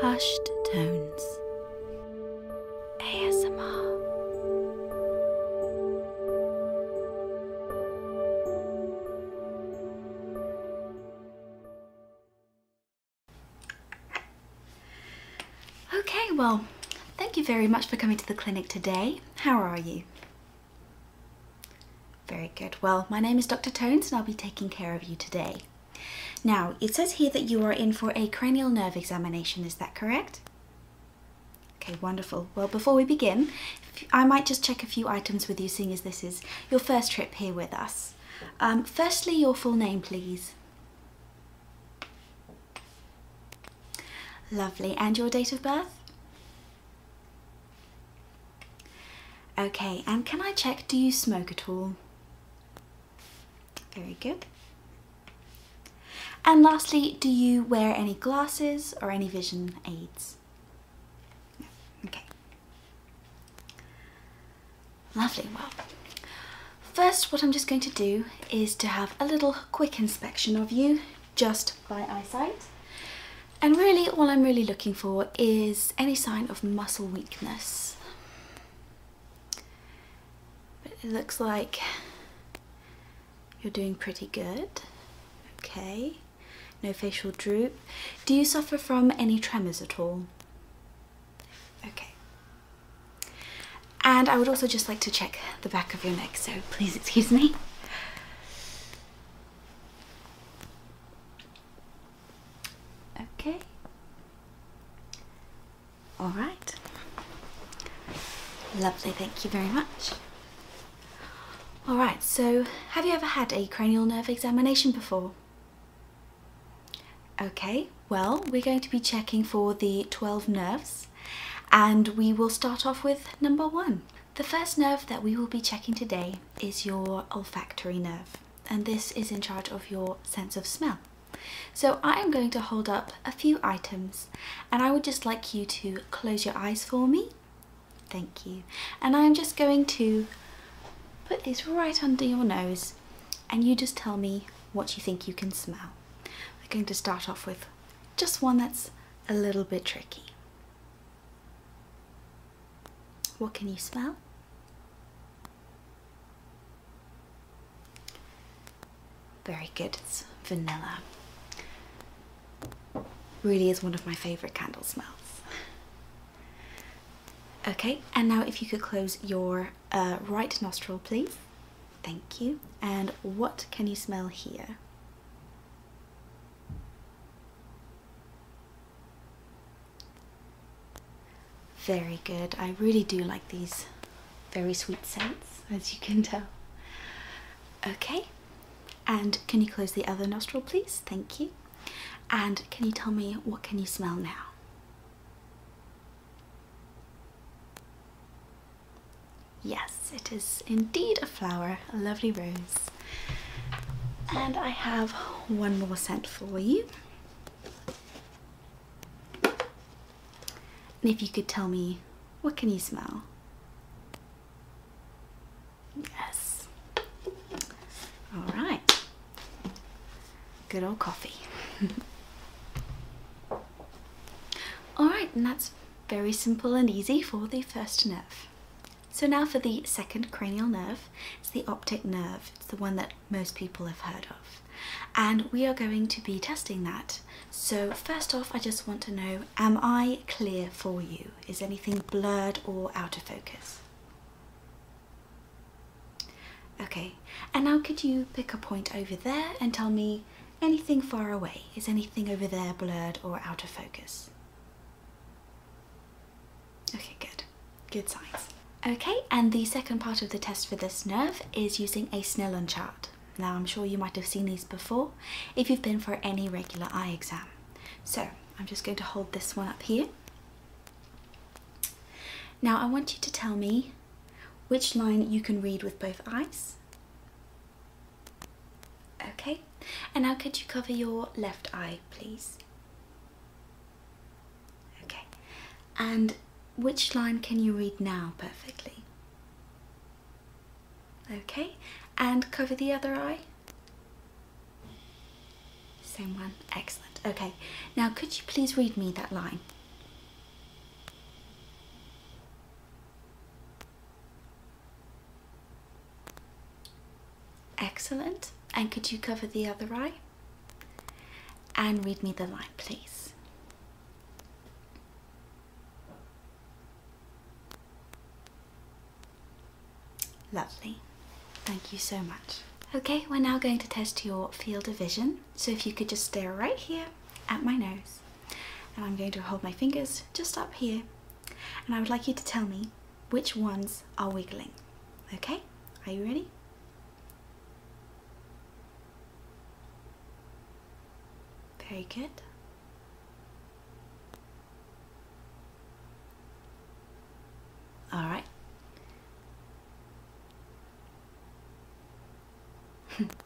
Hushed Tones ASMR Okay, well, thank you very much for coming to the clinic today. How are you? Very good. Well, my name is Dr. Tones and I'll be taking care of you today. Now, it says here that you are in for a cranial nerve examination, is that correct? Okay, wonderful. Well, before we begin, I might just check a few items with you, seeing as this is your first trip here with us. Um, firstly, your full name, please. Lovely. And your date of birth? Okay, and can I check, do you smoke at all? Very good. And lastly, do you wear any glasses or any vision aids? Okay. Lovely, well, first what I'm just going to do is to have a little quick inspection of you just by eyesight. And really all I'm really looking for is any sign of muscle weakness. But it looks like you're doing pretty good. Okay, no facial droop. Do you suffer from any tremors at all? Okay. And I would also just like to check the back of your neck, so please excuse me. Okay. All right. Lovely, thank you very much. All right, so have you ever had a cranial nerve examination before? Okay, well, we're going to be checking for the 12 nerves and we will start off with number one. The first nerve that we will be checking today is your olfactory nerve, and this is in charge of your sense of smell. So I am going to hold up a few items and I would just like you to close your eyes for me. Thank you. And I'm just going to put these right under your nose and you just tell me what you think you can smell. We're going to start off with just one that's a little bit tricky. What can you smell? Very good, it's vanilla. Really is one of my favourite candle smells. Okay, and now if you could close your uh, right nostril, please. Thank you. And what can you smell here? Very good. I really do like these very sweet scents, as you can tell. Okay, and can you close the other nostril, please? Thank you. And can you tell me what can you smell now? Yes, it is indeed a flower, a lovely rose. And I have one more scent for you. And if you could tell me, what can you smell? Yes. All right. Good old coffee. All right, and that's very simple and easy for the first nerve. So now for the second cranial nerve, it's the optic nerve. It's the one that most people have heard of. And we are going to be testing that. So first off, I just want to know, am I clear for you? Is anything blurred or out of focus? Okay, and now could you pick a point over there and tell me anything far away? Is anything over there blurred or out of focus? Okay, good. Good signs. Okay, and the second part of the test for this nerve is using a Snellen chart. Now, I'm sure you might have seen these before if you've been for any regular eye exam. So, I'm just going to hold this one up here. Now, I want you to tell me which line you can read with both eyes Okay, and now could you cover your left eye, please? Okay, and which line can you read now perfectly? Okay, and cover the other eye? Same one, excellent. Okay, now could you please read me that line? Excellent. And could you cover the other eye? And read me the line, please. Lovely. Thank you so much. Okay, we're now going to test your field of vision. So if you could just stare right here at my nose. And I'm going to hold my fingers just up here. And I would like you to tell me which ones are wiggling. Okay, are you ready? Very good. All right.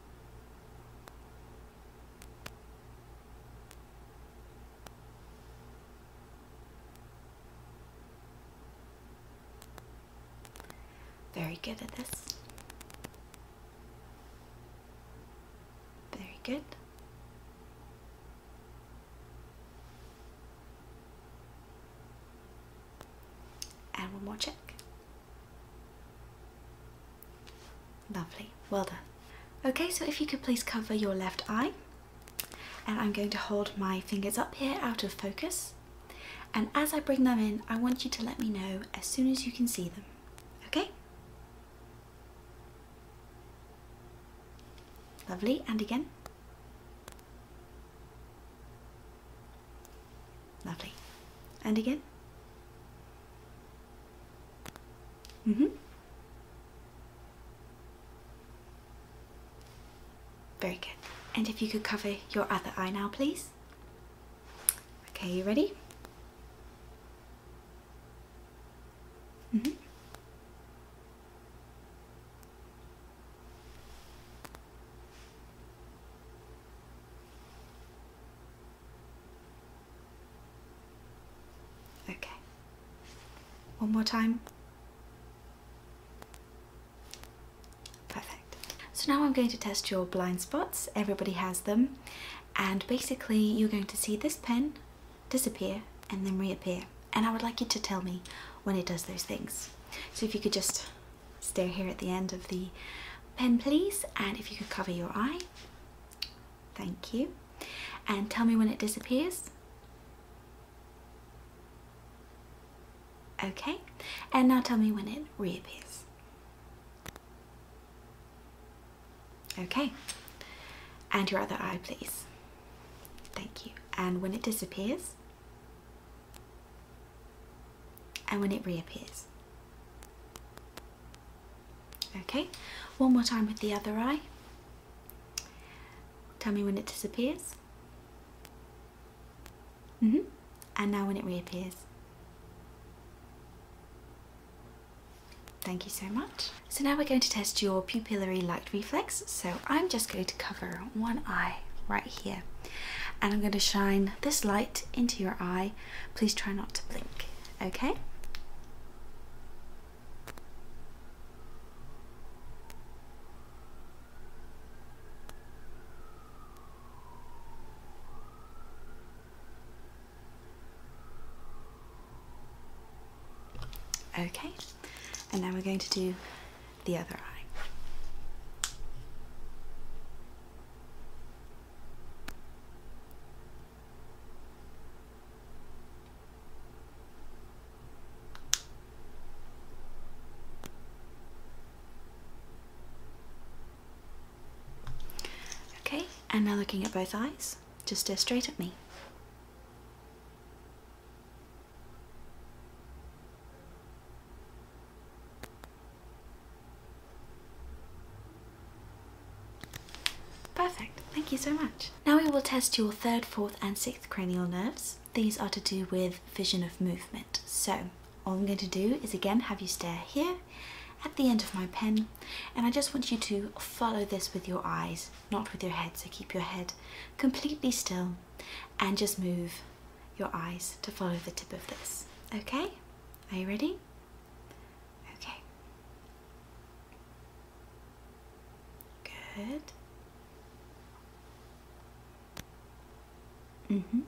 Very good at this. Very good. And one more check. Lovely, well done. Okay, so if you could please cover your left eye, and I'm going to hold my fingers up here out of focus. And as I bring them in, I want you to let me know as soon as you can see them, okay? Lovely, and again. Lovely. And again. Mm-hmm. Very good. And if you could cover your other eye now, please. Okay, you ready? Mm -hmm. Okay. One more time. Perfect. So now I'm going to test your blind spots. Everybody has them. And basically you're going to see this pen disappear and then reappear. And I would like you to tell me when it does those things. So if you could just stare here at the end of the pen please and if you could cover your eye Thank you. And tell me when it disappears. Okay, and now tell me when it reappears. Okay, and your other eye, please. Thank you. And when it disappears, and when it reappears. Okay, one more time with the other eye. Tell me when it disappears. -hmm. And now when it reappears. Thank you so much. So now we're going to test your pupillary light reflex. So I'm just going to cover one eye right here. And I'm going to shine this light into your eye. Please try not to blink, okay? Okay, and now we're going to do the other eye. Okay, and now looking at both eyes, just stare straight at me. Perfect, thank you so much. Now we will test your third, fourth and sixth cranial nerves. These are to do with vision of movement. So all I'm going to do is again have you stare here at the end of my pen and I just want you to follow this with your eyes, not with your head. So keep your head completely still and just move your eyes to follow the tip of this. Okay, are you ready? Okay. Good. Mm-hmm.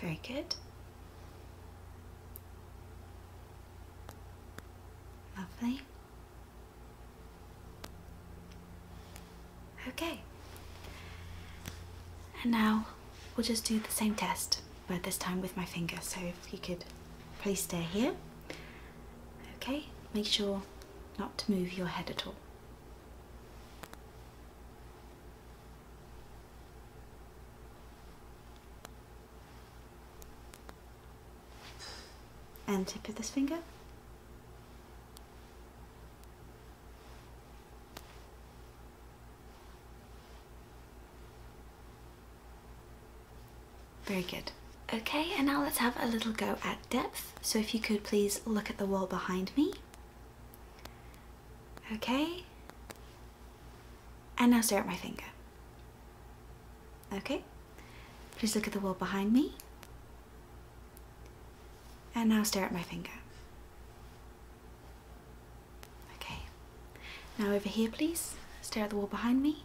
Very good. Lovely. Okay. And now we'll just do the same test, but this time with my finger. So if you could please stay here. Okay, make sure not to move your head at all and tip of this finger. Very good. Okay, and now let's have a little go at depth. So if you could please look at the wall behind me. Okay. And now stare at my finger. Okay. Please look at the wall behind me. And now stare at my finger. Okay. Now over here, please. Stare at the wall behind me.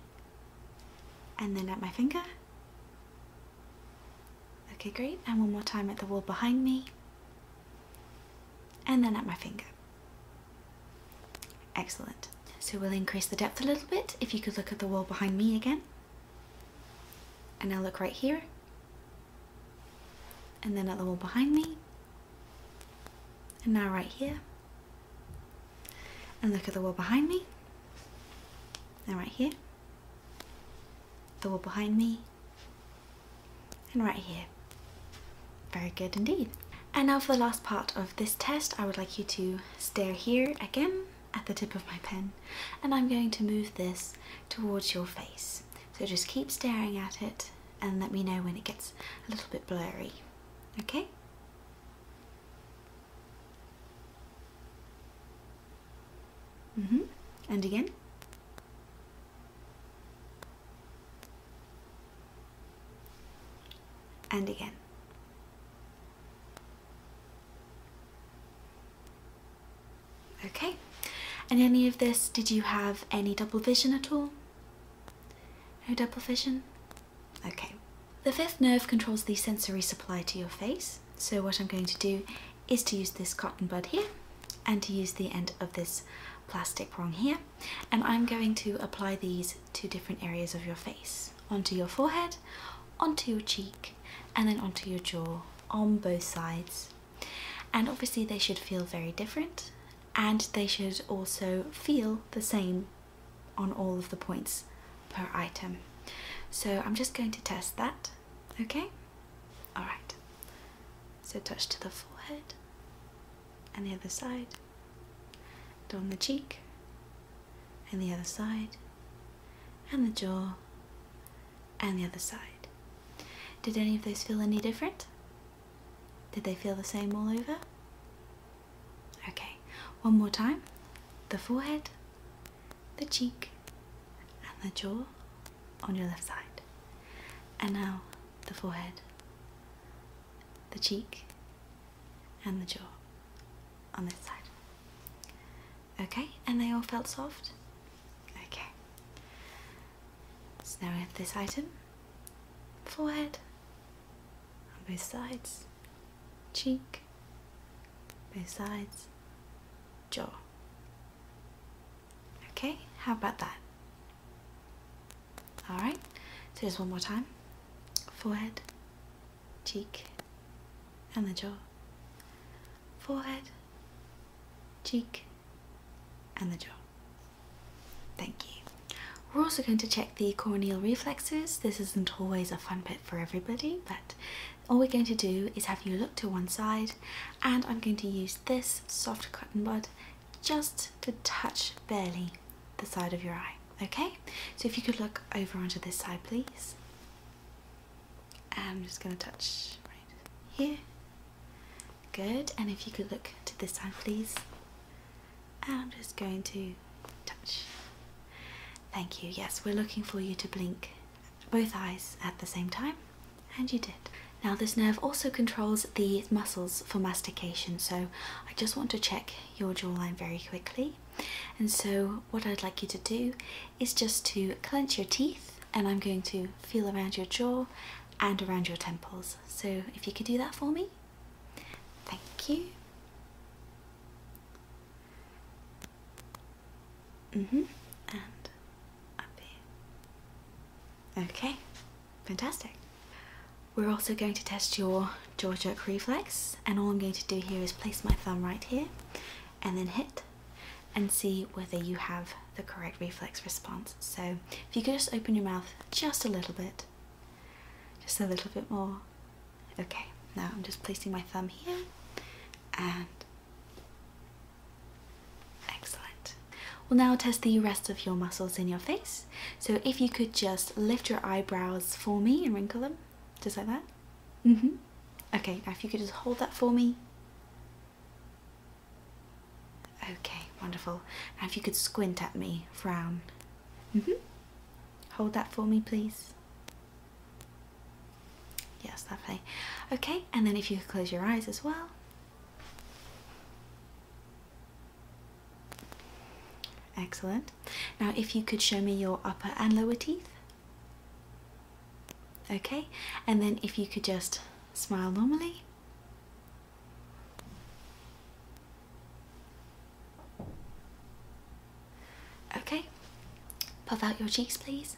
And then at my finger. Okay, great. And one more time at the wall behind me. And then at my finger. Excellent. So we'll increase the depth a little bit. If you could look at the wall behind me again. And now look right here. And then at the wall behind me. And now right here. And look at the wall behind me. And right here. The wall behind me and right here. Very good indeed. And now for the last part of this test, I would like you to stare here again at the tip of my pen and I'm going to move this towards your face. So just keep staring at it and let me know when it gets a little bit blurry. Okay? Mm -hmm. And again. And again. Okay. And any of this, did you have any double vision at all? No double vision? Okay. The fifth nerve controls the sensory supply to your face. So what I'm going to do is to use this cotton bud here and to use the end of this plastic prong here. And I'm going to apply these to different areas of your face, onto your forehead, onto your cheek, and then onto your jaw on both sides. And obviously they should feel very different and they should also feel the same on all of the points per item. So I'm just going to test that, okay? Alright. So touch to the forehead and the other side, and on the cheek and the other side, and the jaw and the other side. Did any of those feel any different? Did they feel the same all over? Okay, one more time the forehead, the cheek, and the jaw on your left side. And now the forehead, the cheek, and the jaw on this side. Okay, and they all felt soft? Okay. So now we have this item forehead on both sides, cheek, besides jaw. Okay, how about that? All right, so just one more time. Forehead, cheek, and the jaw. Forehead, cheek, and the jaw. Thank you. We're also going to check the corneal reflexes. This isn't always a fun bit for everybody, but all we're going to do is have you look to one side and I'm going to use this soft cotton bud just to touch barely the side of your eye. Okay, so if you could look over onto this side, please. I'm just going to touch right here. Good, and if you could look to this side, please. I'm just going to touch. Thank you. Yes, we're looking for you to blink both eyes at the same time, and you did. Now, this nerve also controls the muscles for mastication, so I just want to check your jawline very quickly. And so, what I'd like you to do is just to clench your teeth, and I'm going to feel around your jaw and around your temples. So, if you could do that for me, thank you. Mm-hmm. And up Okay, fantastic. We're also going to test your jaw jerk reflex and all I'm going to do here is place my thumb right here and then hit and see whether you have the correct reflex response. So if you could just open your mouth just a little bit, just a little bit more, Okay, now I'm just placing my thumb here and excellent. We'll now test the rest of your muscles in your face. So if you could just lift your eyebrows for me and wrinkle them, just like that. Mm-hmm. Okay, now if you could just hold that for me. Okay, wonderful. Now if you could squint at me, frown. Mm-hmm. Hold that for me, please. Yes, lovely. Okay, and then if you could close your eyes as well. Excellent. Now, if you could show me your upper and lower teeth. Okay, and then if you could just smile normally. Okay, puff out your cheeks, please.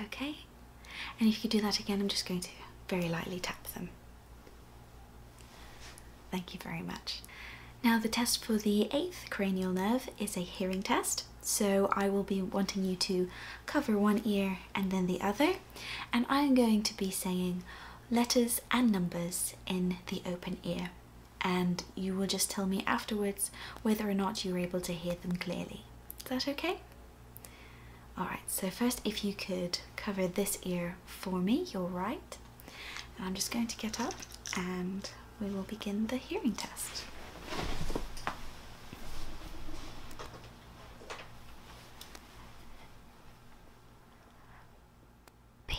Okay, and if you do that again, I'm just going to very lightly tap them. Thank you very much. Now, the test for the eighth cranial nerve is a hearing test. So, I will be wanting you to cover one ear and then the other, and I'm going to be saying letters and numbers in the open ear, and you will just tell me afterwards whether or not you were able to hear them clearly. Is that okay? Alright, so first, if you could cover this ear for me, you're right. I'm just going to get up and we will begin the hearing test. P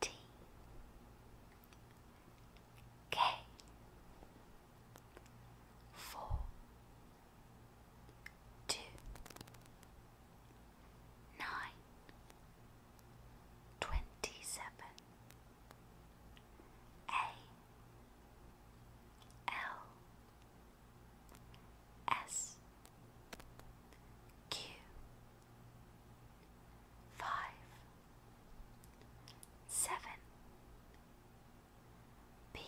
T K four two nine twenty seven A L S Q five seven B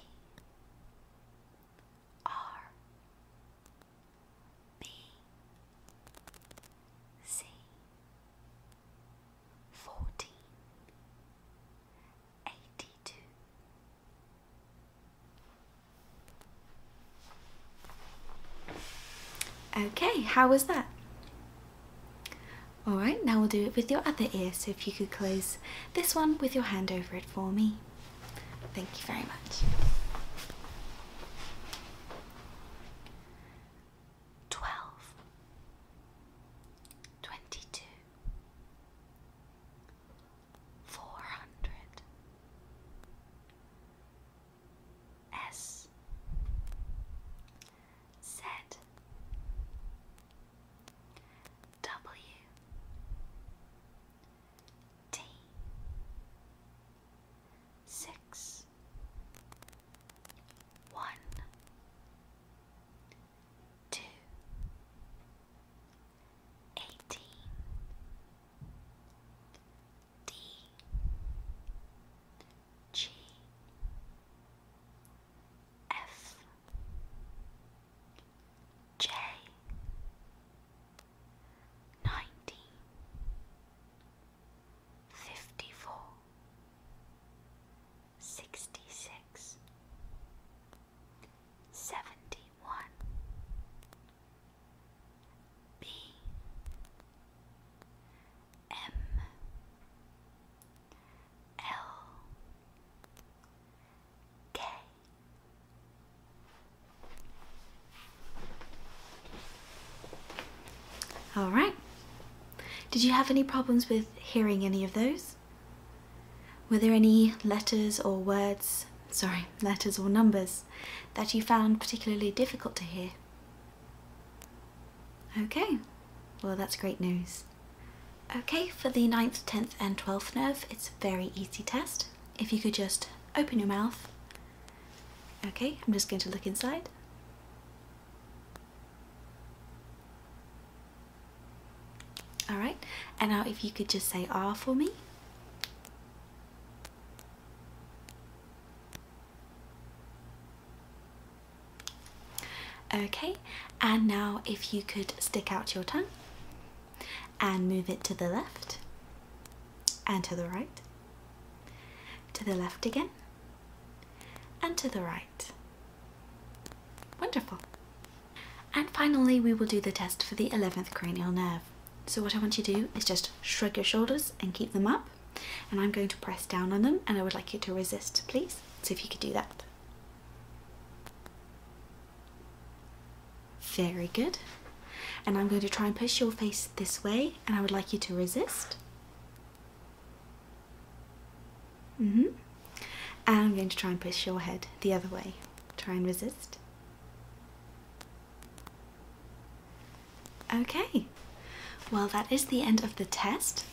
R B C fourteen eighty two. Okay, how was that? Alright, now we'll do it with your other ear, so if you could close this one with your hand over it for me. Thank you very much. Twelve, twenty two, four hundred S Z W T six one two eighteen D G F J nineteen fifty four sixty six seventy one B M L K All right. Did you have any problems with hearing any of those? Were there any letters or words, sorry, letters or numbers that you found particularly difficult to hear? Okay, well, that's great news. Okay, for the 9th, 10th, and 12th nerve, it's a very easy test. If you could just open your mouth. Okay, I'm just going to look inside. All right, and now if you could just say R ah for me. Okay, and now if you could stick out your tongue and move it to the left and to the right, to the left again, and to the right. Wonderful. And finally, we will do the test for the 11th cranial nerve. So what I want you to do is just shrug your shoulders and keep them up. And I'm going to press down on them and I would like you to resist, please. So if you could do that. Very good. And I'm going to try and push your face this way and I would like you to resist. Mm -hmm. I'm going to try and push your head the other way. Try and resist. Okay, well, that is the end of the test.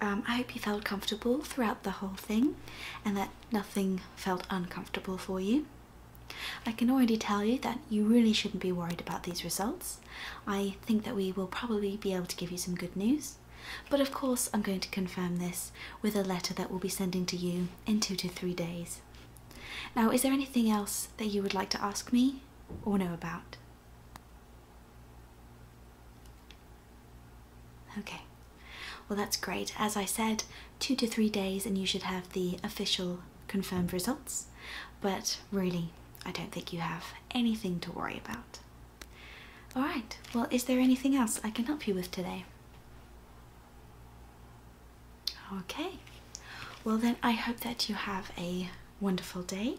Um, I hope you felt comfortable throughout the whole thing and that nothing felt uncomfortable for you. I can already tell you that you really shouldn't be worried about these results. I think that we will probably be able to give you some good news but of course, I'm going to confirm this with a letter that we'll be sending to you in two to three days. Now, is there anything else that you would like to ask me or know about? Okay, well, that's great. As I said, two to three days, and you should have the official confirmed results. But really, I don't think you have anything to worry about. All right, well, is there anything else I can help you with today? Okay, well, then I hope that you have a wonderful day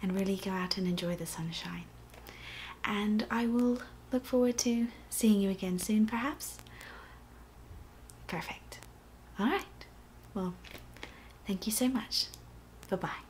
and really go out and enjoy the sunshine. And I will look forward to seeing you again soon, perhaps. Perfect. All right, well, thank you so much. Bye bye.